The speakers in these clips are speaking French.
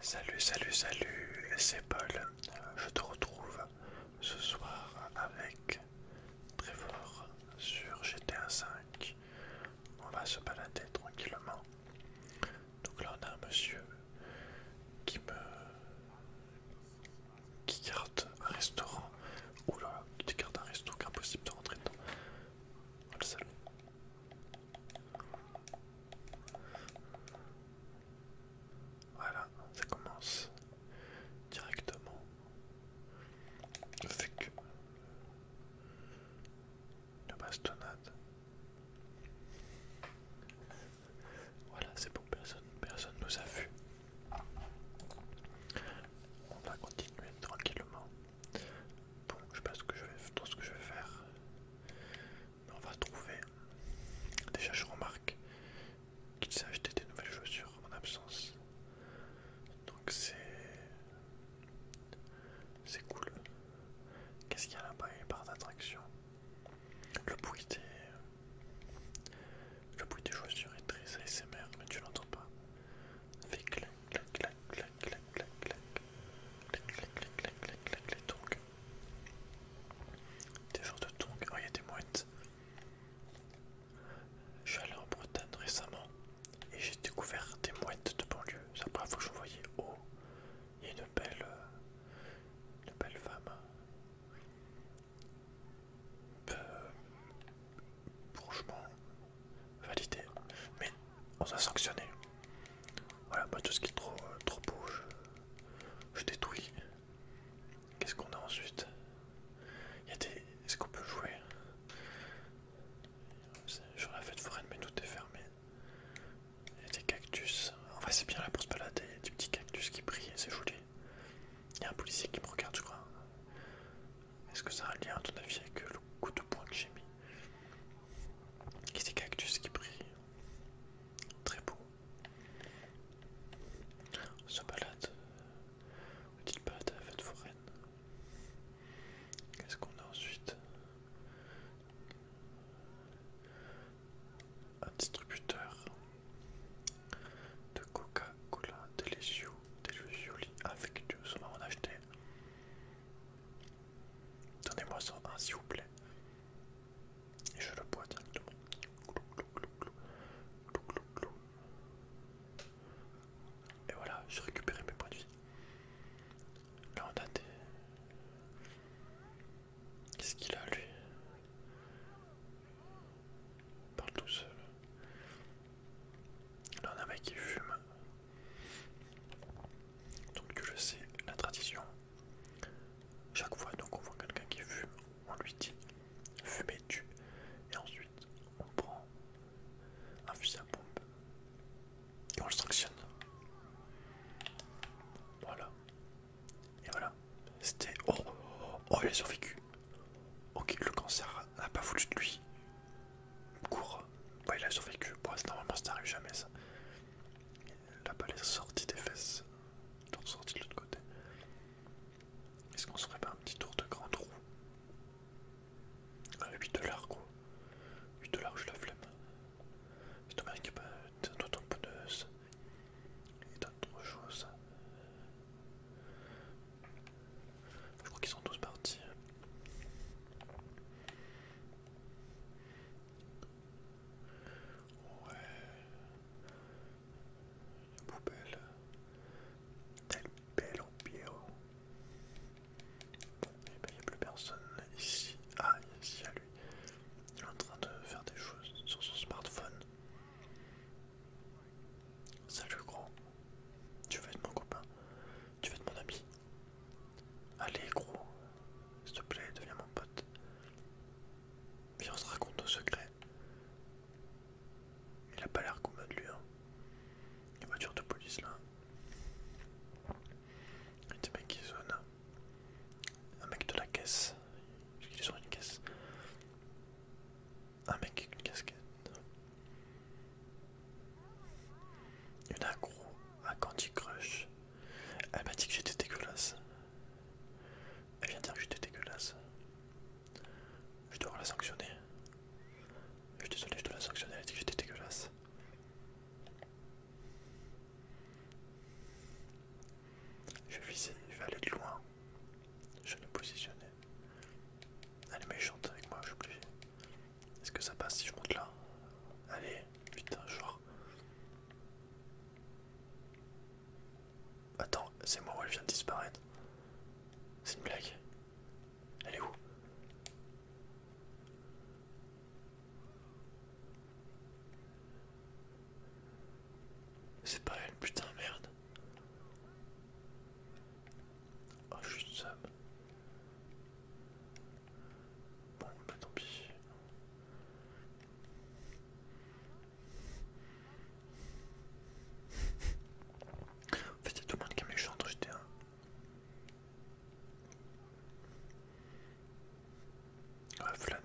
Salut, salut, salut, c'est Paul. Je te retrouve ce soir avec Trevor sur GTA V. On va se balader tranquillement. Donc là, on a un monsieur qui me. qui garde un restaurant. là qui garde un resto qu'impossible de rentrer dedans. le salon. Voilà, ça commence directement. Le fait que bastonnade. Voilà, c'est bon, personne, personne nous a vu. On va continuer tranquillement. Bon, je sais pas ce que je vais, trop ce que je vais faire, mais on va trouver. Déjà, je remarque qu'il s'est acheté des nouvelles chaussures en mon absence, donc c'est c'est cool. Qu'est-ce qu'il y a là-bas Les y Le bruit des le bruit des chaussures est très ASMR, mais tu l'entends pas. Vigle clac, clac, clac, clac, clac, clac, clac, clac, clac, clac, clac, les tongs. Des genres de tongs. Oh, il y a des mouettes. Je suis allé en Bretagne récemment et j'ai découvert des mouettes de banlieue. C'est pas première que je voyais. Oh, il y a une belle, une belle femme. Euh, franchement, validé. Mais on a sanctionné. Voilà, pas tout ce qui est trop, euh, trop beau, je, détruis. Qu'est-ce qu'on a ensuite Il y a des. Est-ce qu'on peut jouer Sur la fête foraine, mais tout est fermé. Il y a des cactus. En c'est bien là pour se balader. Il y des petits cactus qui brillent, c'est joli. Il y a un policier qui me regarde, je crois. Est-ce que ça a un lien, à ton avis, avec le coup de poing que j'ai mis c'est des cactus qui brille. Très beau. On se balade On balade, balade de la fête foraine. Qu'est-ce qu'on a ensuite Un distributeur de Coca-Cola Delicious Delicious avec Dieu. on en acheté Donnez-moi ça, un hein, s'il vous plaît. Et je le bois directement. Et voilà, j'ai récupéré mes points de vie. Là on a des... Qu'est-ce qu'il a lui Il parle tout seul. Là on a un mec qui fume. Donc je sais la tradition. Chaque fois donc on voit quelqu'un qui fume, on lui dit fumez-tu et ensuite on prend un fusil à pompe et on le sanctionne. Voilà. Et voilà. C'était... Oh, oh, il a survécu. Ok, le cancer n'a pas voulu de lui court. Ouais, il a survécu. Bon, normalement, ça n'arrive jamais ça. La balle est sortie des fesses, donc sortie de l'autre côté. Est-ce qu'on se ferait pas un petit tour de grand trou ah, 8 dollars quoi. 8 dollars, je la flemme. C'est dommage qu'il n'y ait pas de et d'autres choses. Je crois qu'ils sont tous partis. Ouais. Une poubelle. Tel belle il n'y a plus personne ici. Ah, y a lui. Il est en train de faire des choses sur son smartphone. Salut gros. Tu veux être mon copain Tu veux être mon ami Allez, gros, s'il te plaît, deviens mon pote. Viens, on se raconte nos secrets. Il a pas l'air commode, lui. Hein. Les voiture de police, là. Il y a des mecs qui Un mec de la caisse. Je ont sur une caisse. Un mec avec une casquette. Une accro un Candy Crush. Elle m'a dit que j'étais dégueulasse. Elle vient dire que j'étais dégueulasse. Je dois la sanctionner. Je suis désolé, je dois la sanctionner. Elle a dit que j'étais dégueulasse. Je vais je vais aller de loin. Je vais me positionner. Elle est méchante avec moi, je suis obligé. Est-ce que ça passe si je monte là Allez, putain, genre. Attends, c'est moi ou elle vient de disparaître. C'est une blague. Elle est où C'est pas elle, putain, merde. Oh, je suis Bon, bah tant pis. en fait, c'est tout le monde qui aime les j'étais dans GTA. Ouais, ah, flâner.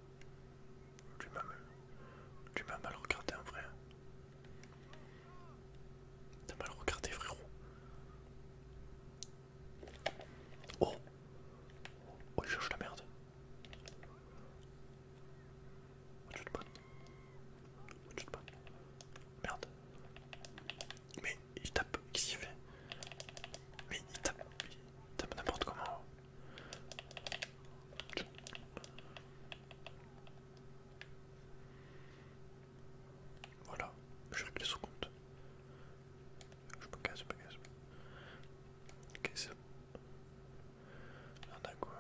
Tu m'as mal regardé en hein, vrai. T'as mal regardé frérot. Oh Oh il cherche la merde. Oh, oh, merde. Mais il tape, qu'est-ce qu'il fait Mais il tape, tape n'importe comment. Voilà, je règle sur compte. Je me casse, je me casse. Qu'est-ce que c'est quoi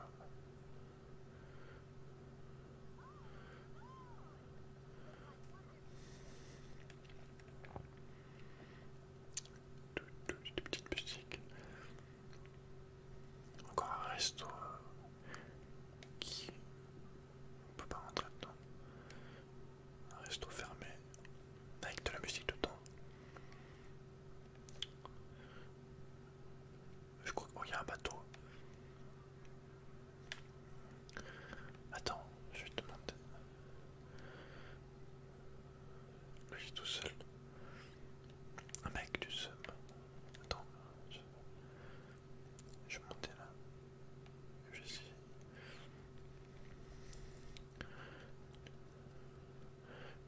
de, petites musiques. Encore un resto euh, qui on peut pas rentrer dedans. Un resto fermé avec de la musique dedans. Je crois qu'il oh, y a un bateau. Attends, je vais te demander. Je suis tout seul. Un mec du seum. Attends, je, je vais monter là. Je Je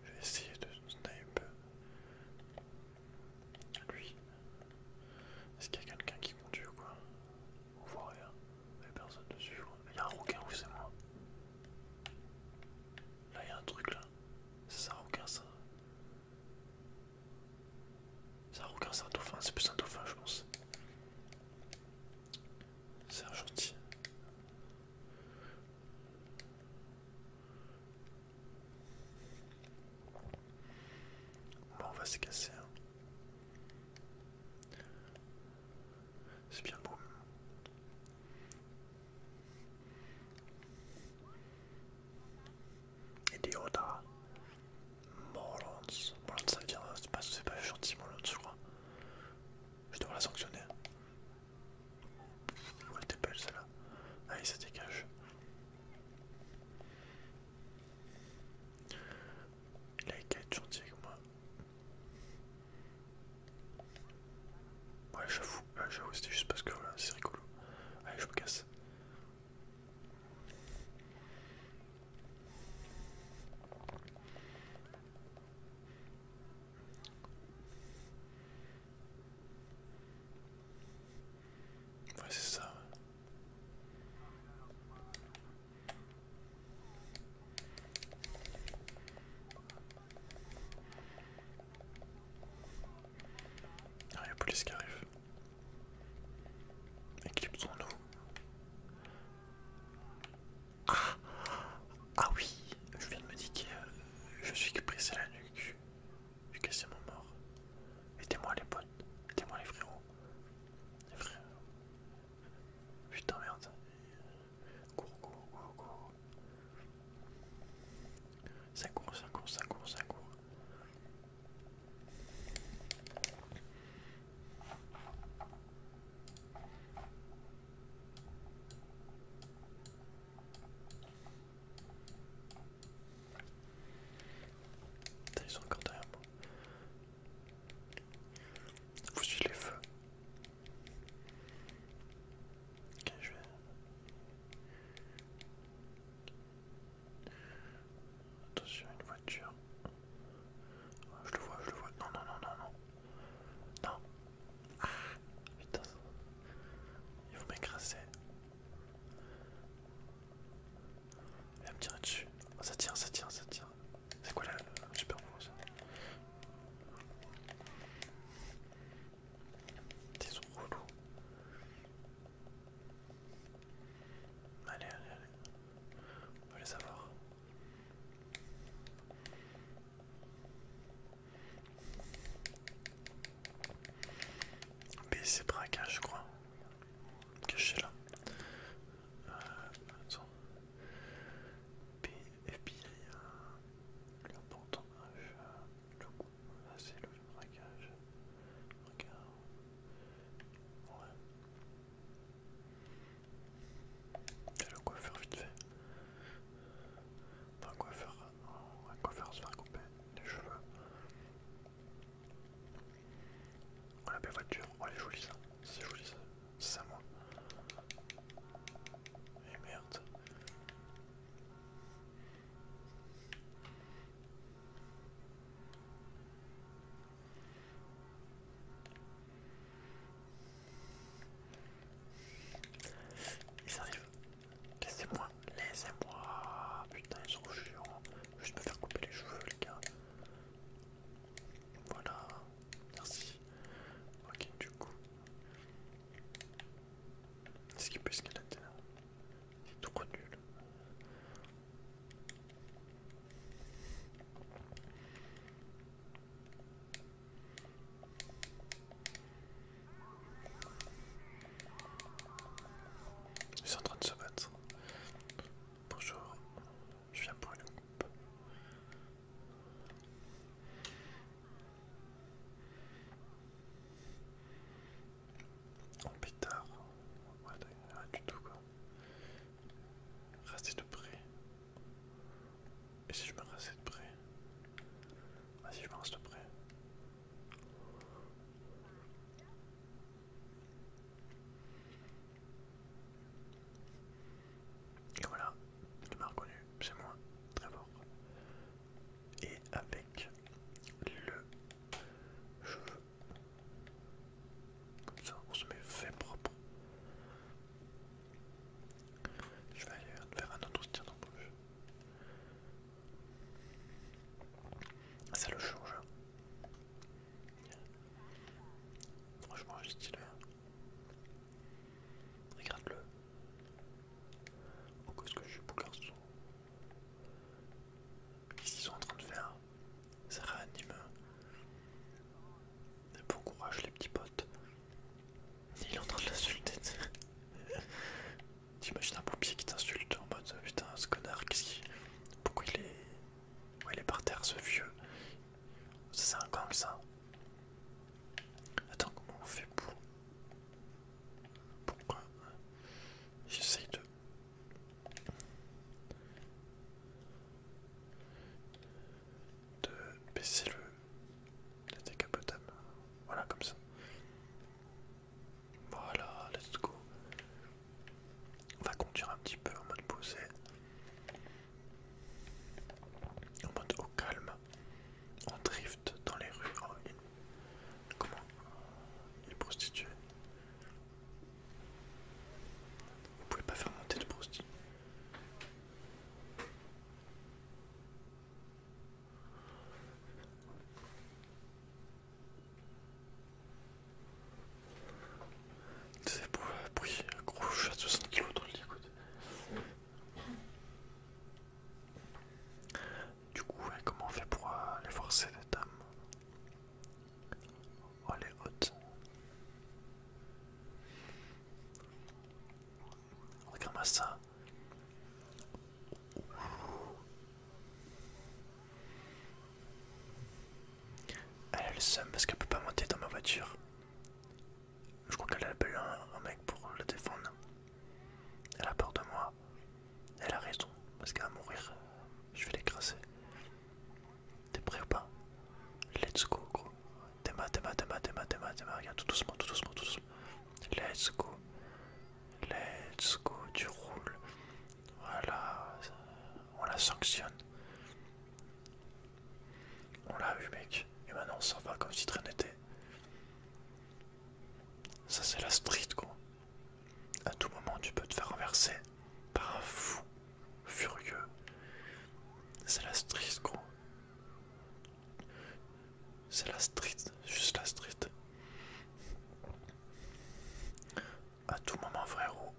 vais essayer de sniper. Lui. Est-ce qu'il y a quelqu'un qui conduit ou quoi on voit rien. Il a personne dessus. Il y a un requin ou c'est moi Là il y a un truc là. C'est un requin ça. C'est un requin, c'est un dauphin. C'est plus un dauphin je pense. C'est un gentil. Bon, on va se casser. Hein. C'est bien beau. Idiota. Morons. Morons ça vient, euh, C'est pas, gentil Morons je crois. Je devrais la sanctionner. Où elle était belle celle-là. Allez ah, ça dégage. Il a qu'à être gentil avec moi. Ouais, j'avoue, j'avoue, c'était juste parce que c'est rigolo. Allez, je me casse. Ouais, c'est ça. Ah, il y a police qui arrive. Éclipsons-nous. Ah, ah oui Je viens de me dire que euh, je suis pressé la nuque. Je suis mon mort. Aidez-moi les potes. Aidez-moi les frérots. Les frérots. Putain merde. Cours, cours, cours, cours. Ça court, ça court, ça court, ça court. Ils sont encore derrière moi. Vous suivez les feux. Ok, je vais... Attention, une voiture. Je le vois, je le vois. Non, non, non, non, non. Non. Ah, putain. Ils vont m'écraser. Il va me tirer dessus. Oh, ça tient, ça tient, ça tient. C'est quoi la, la super pose Ils sont Allez, allez, allez. On va les avoir. c'est braquage, je crois. Caché là. Euh, attends. FBI a leur le coup, ah, c'est le braquage. Regarde. Ouais. T'as le coiffeur vite fait. Enfin, un coiffeur, euh, un coiffeur se faire couper les cheveux. Voilà, belle voiture, oh elle est jolie ça. C'est joli ça. C'est à moi. Et eh, merde. Ils arrivent. Laissez-moi. Laissez-moi. Putain, ils sont chiants. Je vais me faire couper les cheveux, les gars. Voilà. Merci. Ok, du coup. Est-ce qu'il peut escalader là C'est trop nul. Ils sont en train de se battre. Bonjour, je viens pour une coupe. En oh, pétard. Ouais, arrête du tout quoi. Restez de près. Et si je me reste de près Vas-y, ah, je me reste de près. Et voilà, tu m'as reconnu, c'est moi, très fort. Et avec le cheveu, comme ça, on se met fait propre. Je vais aller faire un autre tir d'embauche. Ça le change. Hein. Franchement, j'ai stylé. Regarde-le. Pourquoi oh, est ce que je suis beau garçon. Qu'est-ce qu'ils sont en train de faire Ça réanime. Bon courage, les petits potes. Il est en train de l'insulter. T'imagines un pompier qui t'insulte en mode putain, ce connard, qu'est-ce qu'il. Pourquoi il est. il est par terre, ce vieux c'est un comme ça. Attends, comment on fait pour... Pourquoi J'essaye de... De baisser le... La décapotable. Voilà, comme ça. Voilà, let's go. On va conduire un petit peu en mode posé. On monte au calme, on drift dans les rues. il... Comment Il est prostitué. Vous pouvez pas faire monter de prostitué. C'est pour oui, un gros chat de 60 kg dans le lit, écoute. Du coup, comment on fait pour euh, aller les forcer les dames Oh, est haute. Regarde-moi ça. Elle est le seum parce qu'elle peut pas monter dans ma voiture. Je crois qu'elle a appelé un mec pour la défendre. Elle a peur de moi. Elle a raison, parce qu'elle va mourir, je vais l'écraser. T'es prêt ou pas Let's go, gros. Dema, Dema, Dema, Dema, Dema, Dema. Regarde, tout doucement, tout doucement, tout doucement. Let's go. Let's go, tu roules. Voilà, on la sanctionne. On l'a eu mec, et maintenant on s'en va comme si rien n'était. Ça c'est la street quoi. À tout moment tu peux te faire renverser par un fou furieux. C'est la street quoi. C'est la street, juste la street. À tout moment frérot,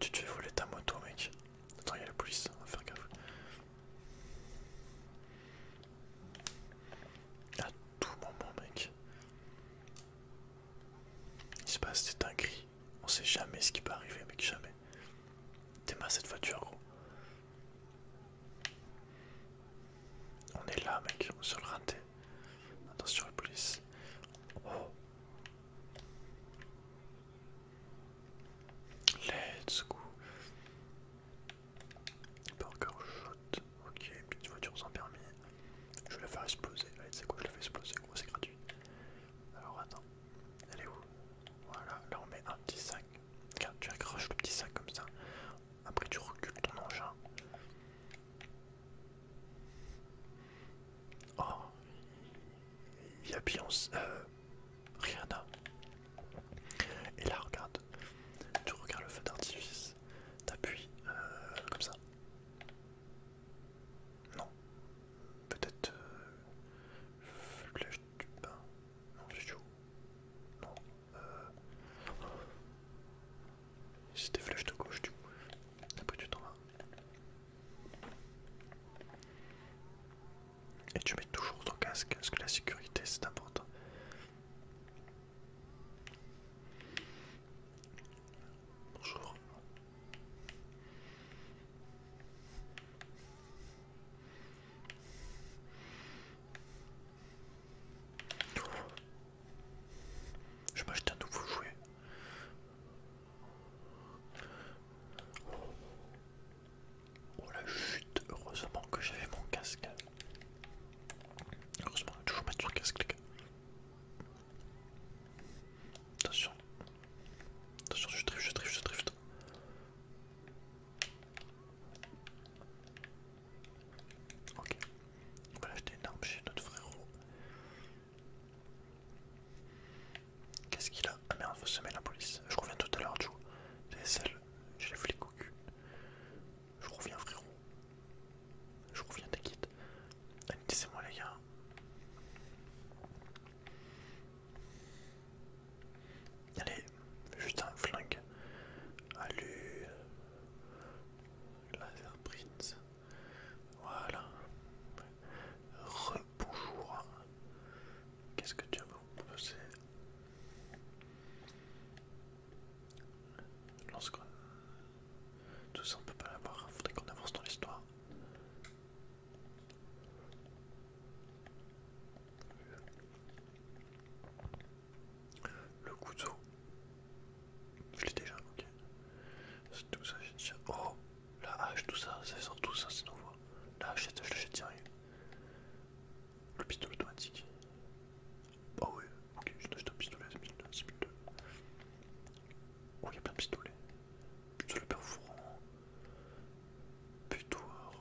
tu te fais voler ta moto mec. Attends, il y a la police, on va faire gaffe. À tout moment, mec. Il se passe des dingueries. On sait jamais ce qui peut arriver, mec, jamais. Démarre cette voiture, gros. On est là, mec, on se le raté. Attention, la police. Oh. Let's go. encore shot. Ok, petite voiture sans permis. Je vais la faire exploser. Allez, c'est quoi Je la fais exploser. c'est gratuit. Alors attends. Elle est où Voilà, là on met un petit sac. Regarde, tu accroches le petit sac comme ça. Après, tu recules ton engin. Oh, il y a bien. Rien là. Et là, regarde, tu regardes le feu d'artifice, t'appuies euh, comme ça. Non, peut-être. flèche du bas. Non, c'est chaud. Non, euh. C'était flèche de gauche, du coup. Après, tu t'en hein. vas. Et tu mets toujours ton casque, parce que la sécurité c'est important. Bonjour. Je m'achète un nouveau jouet. Oh la chute, heureusement que j'avais mon casque. Heureusement, on vais toujours mettre son casque, les gars. Attention. Attention, je drift, je drift, je drift. Ok. On va l'acheter une arme chez notre frérot. Qu'est-ce qu'il a Ah merde, faut semer la police. Je reviens tout à l'heure, Joe. DSL, j'ai les flics au cul. Je reviens, frérot. Je reviens, t'inquiète. Allez, laissez-moi, les gars. Allez, juste un flingue. Allez. Laser Prince. Voilà. Rebonjour. Qu'est-ce que tu as me proposer Lance Tout ça on ne peut pas l'avoir, faudrait qu'on avance dans l'histoire. Le couteau. Je l'ai déjà, ok. C'est tout ça, j'ai déjà. Oh la hache, tout ça, ça sort tout ça, c'est nouveau. La hache, je l'achète direct. Le pistolet automatique. Ah ouais, ok, je acheté un pistolet à mille 6002. Oh, il y a plein de pistolets. Pistolet perforant. Butoir.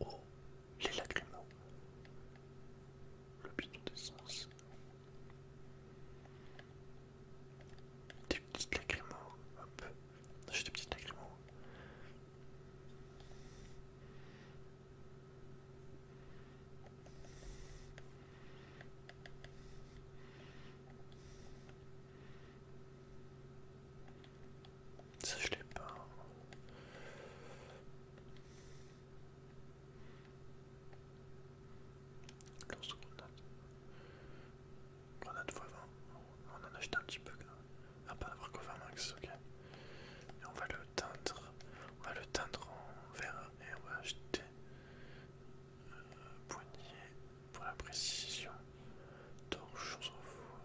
Oh, les lacrimaux. Le pistolet d'essence. Des petites lacrimaux. hop. J'ai des petites négriments. Ça je pas. Grenade x20. On en a acheté un petit peu. Ah, à pas avoir max, ok. Et on va le teindre. On va le teindre en vert et on va acheter euh, poignet pour la précision. Torche, on s'en fout.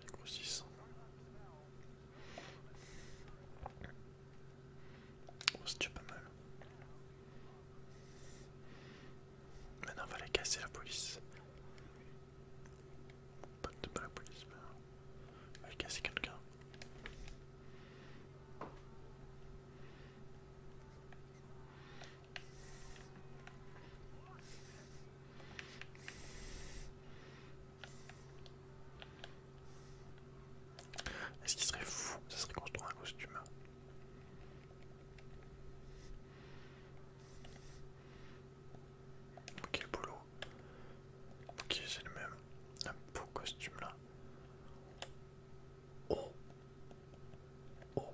le oh, c'est pas mal. Maintenant, on va aller casser la police. Pas de la police, mais on va aller casser quelqu'un. Est-ce qu'il serait fou Ça serait construit un costume. Ok, boulot. Ok, c'est le même. Un beau costume là. Oh! Oh!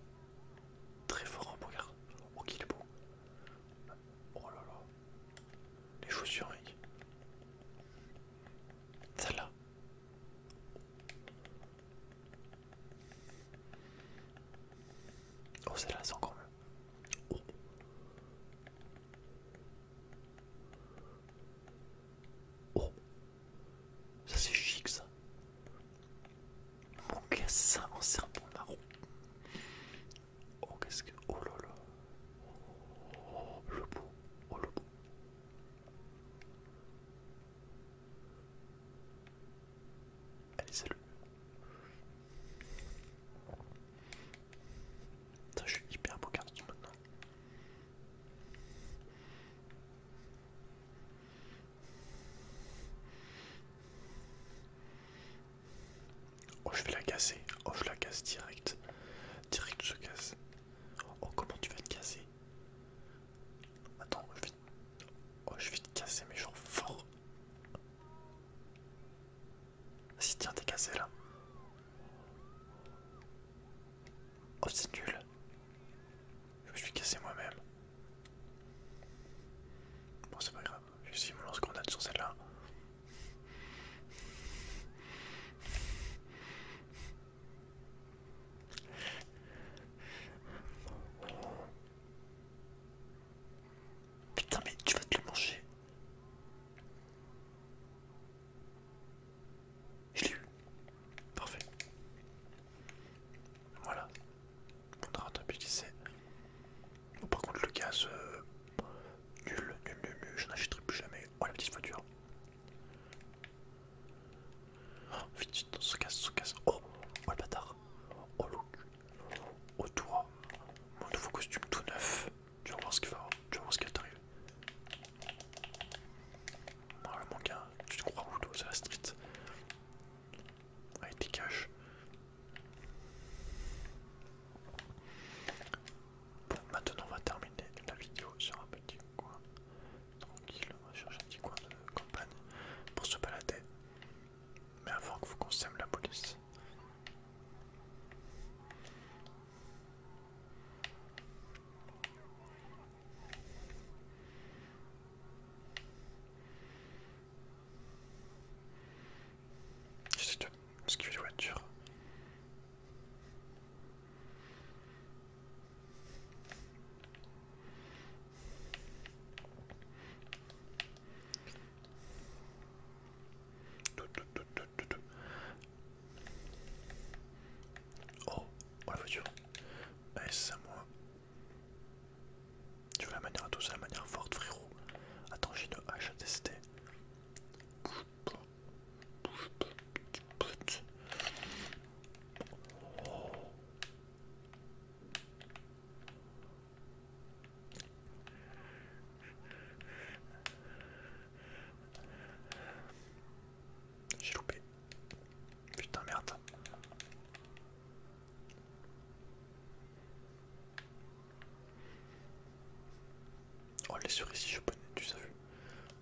Très fort, en hein, regarde. Oh, qu'il est beau. Oh là là. Les chaussures, mec. Celle-là. Oh c'est là c'est encore mieux. Oh. oh. Ça c'est chic ça. Mon c'est en serpent marron. Oh qu'est-ce que... Oh là là. Oh, le beau. Oh le beau. Allez, salut. Putain, je suis hyper beau quartier maintenant. Oh, je vais la casser. Oh, je la casse direct. Direct, se casse. Oh, comment tu vas te casser Attends, je Oh, je vais te casser, mes genre fort. Si, tiens, t'es cassé là. Oh, c'est nul. Je me suis cassé moi-même. Bon, c'est pas grave. Je vais essayer mon lance-grenade sur celle-là. Putain, mais tu vas te le manger. Je l'ai eu. Parfait. Voilà. On a petit Bon, par contre, le gaz, euh, nul, nul, nul, nul. Je n'achèterai plus jamais. Oh, la petite voiture. Oh, vite, on se casse, se casse. Oh, oh le bâtard. Oh le Oh toi. Mon nouveau costume tout neuf. Tu vas voir ce qu'il va. Tu vas voir ce t'arrive. mon gars, tu te crois où toi, c'est la street. Allez, dégage. Bon, maintenant on va terminer la vidéo sur un petit coin tranquille, on va chercher un petit coin de campagne pour se balader. Mais avant que vous consomme la police. J'essaie de esquiver les voitures. Oh, oh, la voiture. Allez, c'est à moi. Tu veux la manière à tous, la manière forte, frérot. Attends, j'ai une hache à tester. Bouge pas. Bouge pas, petit j'ai loupé. Putain merde. Oh les cerises, je connais, tu as vu.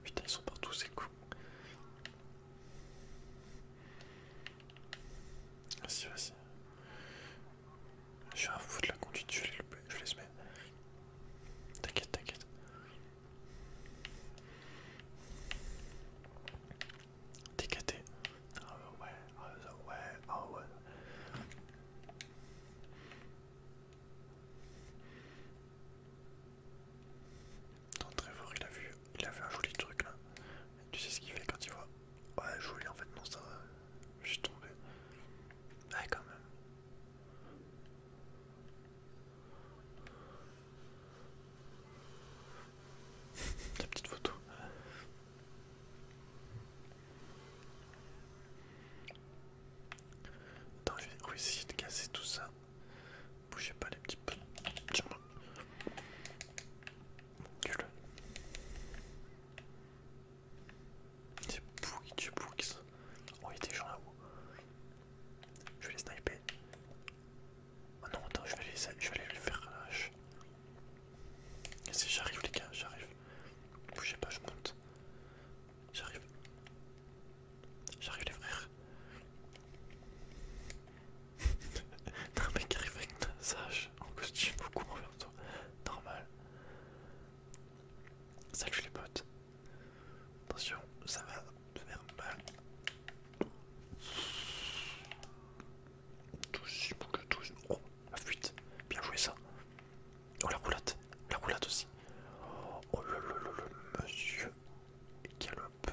Putain, ils sont partout, c'est cool. Vas-y, vas Je suis un fou de la conduite, je l'ai loupé, je l'ai semé. T'inquiète, t'inquiète. Ah ouais, ah ouais, ah ouais. Ah, très Trevor, il a vu, il a vu un joli truc là. tu sais ce qu'il fait quand il voit. Ouais, joli en fait, non, ça. Je suis tombé. Ouais, quand même. La petite photo. Attends, je vais essayer de casser tout ça. Bougez pas les petits p... Tiens-moi. le C'est pourri, Oh, il y a des gens là-haut. Je vais les sniper. Oh non, attends, je vais, les, faire relâcher J'arrive, les gars, j'arrive. Bougez pas, je monte. J'arrive. J'arrive, les frères non mais qui arrive avec un sage en costume beaucoup envers toi. Normal. Salut les potes. Attention, ça va te faire mal. Tous, tous. Oh, la fuite. Bien joué ça. Oh la roulotte, La roulotte aussi. Oh le monsieur. galope.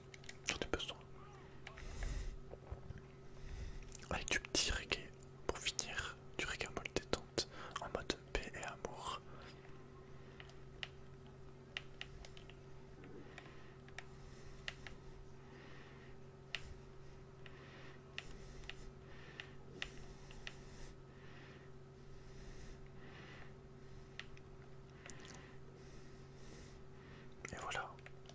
J'en besoin. Avec du petit reggae pour finir, du reggae détente en mode paix et amour. Et voilà,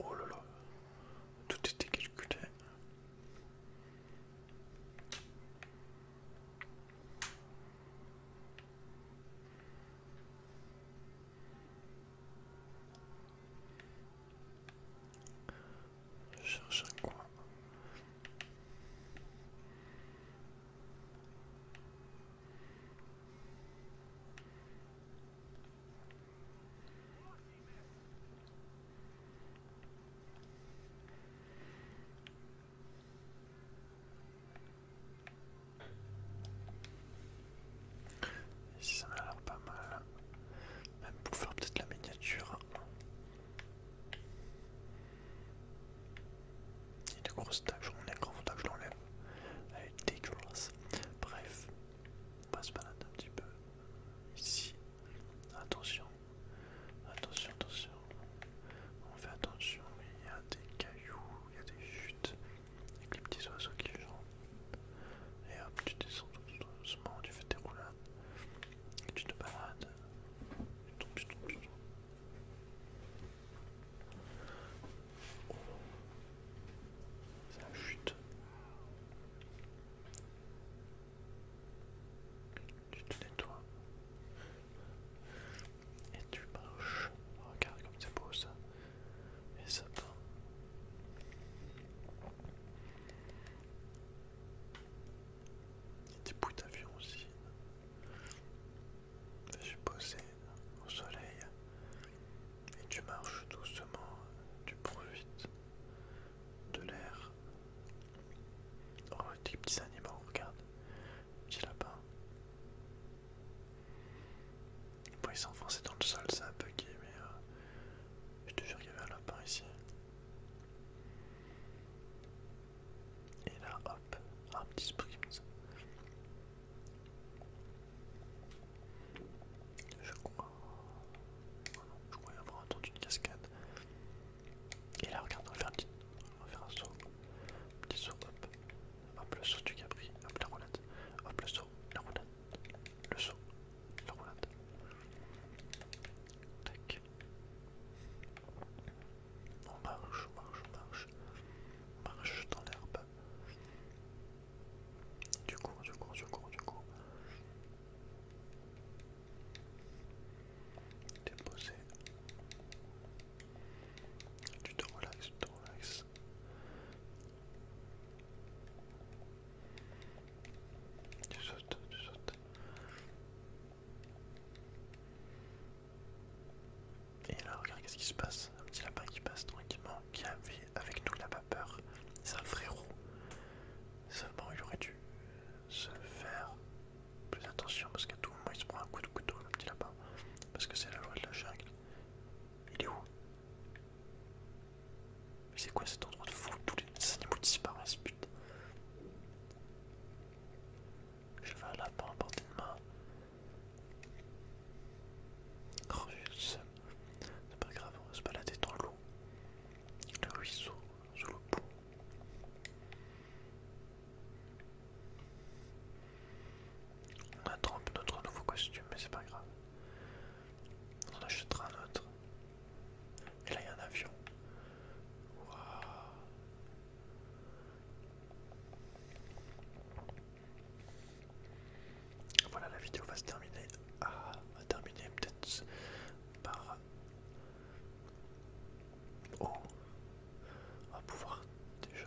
Oh là là, tout était calculé. Je cherche un coin. Ici ça m'a l'air pas mal. Même pour faire peut-être la miniature. Il y a de grosses taches, on est gros faut que je l'enlève. Elle est dégueulasse. Bref, on va se balader un petit peu ici. Attention, attention, attention. On fait attention, il y a des cailloux, il y a des chutes, avec les petits oiseaux qui chantent. Et hop, tu descends tout doucement, tu fais tes roulades, et tu te balades. Oh non. Ça chute. Tu te nettoies. Et tu marches. regarde comme c'est beau ça. Et ça tombe. Il y a des bouts d'avion aussi. Je suis au soleil et tu marches doucement, tu profites de l'air. Oh, des petits animaux, regarde, petit lapin. Bon, il pourrait s'enfoncer dans le sol, un peu gay, mais euh, je te jure qu'il y avait un lapin ici. Et là, hop, un petit sprint. Je crois... je crois avoir entendu une cascade. Et là, regarde, on va faire, petit... un saut. Petit saut, hop. Hop, le saut du Capri. Hop, la roulade. Hop, le saut, la roulade. Le saut, la roulade. Tac. On marche, on marche, on marche. On marche dans l'herbe. Tu cours, tu cours, tu cours, tu cours. T'es posé. Tu te relaxes, tu te relaxes. Tu sautes, tu sautes. Et là, regarde ce qui se passe. Un petit lapin qui passe tranquillement, qui a vie avec nous lapin peur. C'est un frérot. Seulement, il aurait dû se faire plus attention parce qu'à tout moment, il se prend un coup de couteau, le petit lapin. Parce que c'est la loi de la jungle. Il est où Mais C'est quoi cet endroit de fou Tous les animaux disparaissent, putain. Je vais à la à porter de main. C'est pas grave, on va se balader dans l'eau. Le ruisseau, sous le pont. On attrape notre nouveau costume, mais c'est pas grave. On achètera un autre. Et là, il y a un avion. Voilà, la vidéo va se terminer. Ah, va terminer peut-être par. Oh, on va pouvoir déjà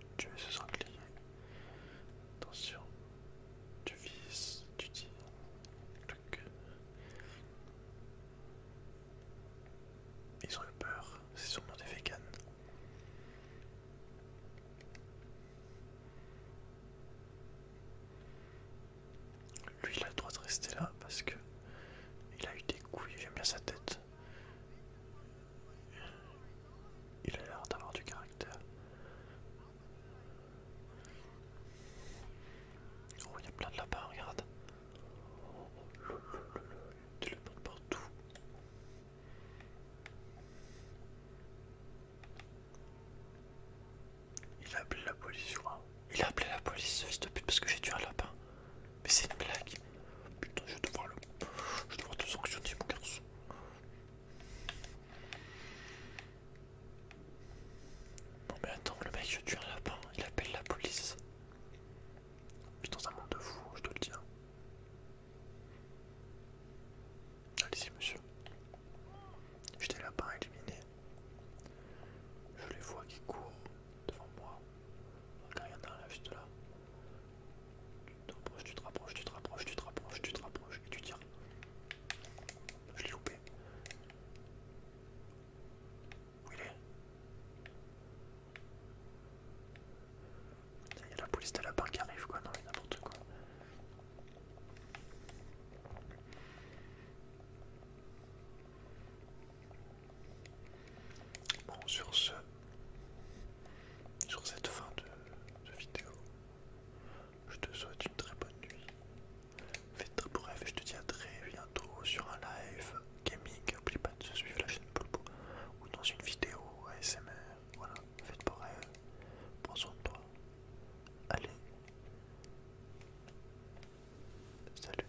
je tuer ce sanglier. Attention, tu vis, tu dis, Ils ont eu peur, c'est sûrement des véganes. Lui il a le droit de rester là parce que il a eu des couilles, j'aime bien sa tête. Il a l'air d'avoir du caractère. Oh, il y a plein de lapins, regarde. Des lapins partout. Il a appelé la police sur Il a appelé la police, fils de pute, parce que j'ai tué un lapin. Mais c'est une blague. Putain, je vais voir le. Je vais devoir te sanctionner, mon garçon. Non, mais attends, le mec, je tue un lapin, il appelle la police. Putain, un monde de fou, je te le dis. Hein. Allez-y, monsieur. J'étais là pas éliminé. Je les vois qui courent devant moi. Regarde, il juste là. Tu te rapproches, tu te rapproches, tu te rapproches, tu te rapproches, tu te rapproches et tu tires. Je l'ai loupé. Où il est il y a la police la part qui arrive quoi, non mais n'importe quoi. Bon, sur ce, sur cette fin de, vidéo, je te souhaite une très bonne nuit. Faites très bref je te dis à très bientôt sur un live gaming. N'oublie pas de se suivre la chaîne Polpo ou dans une vidéo ASMR. Voilà faites pareil, prends soin de toi. Allez, salut.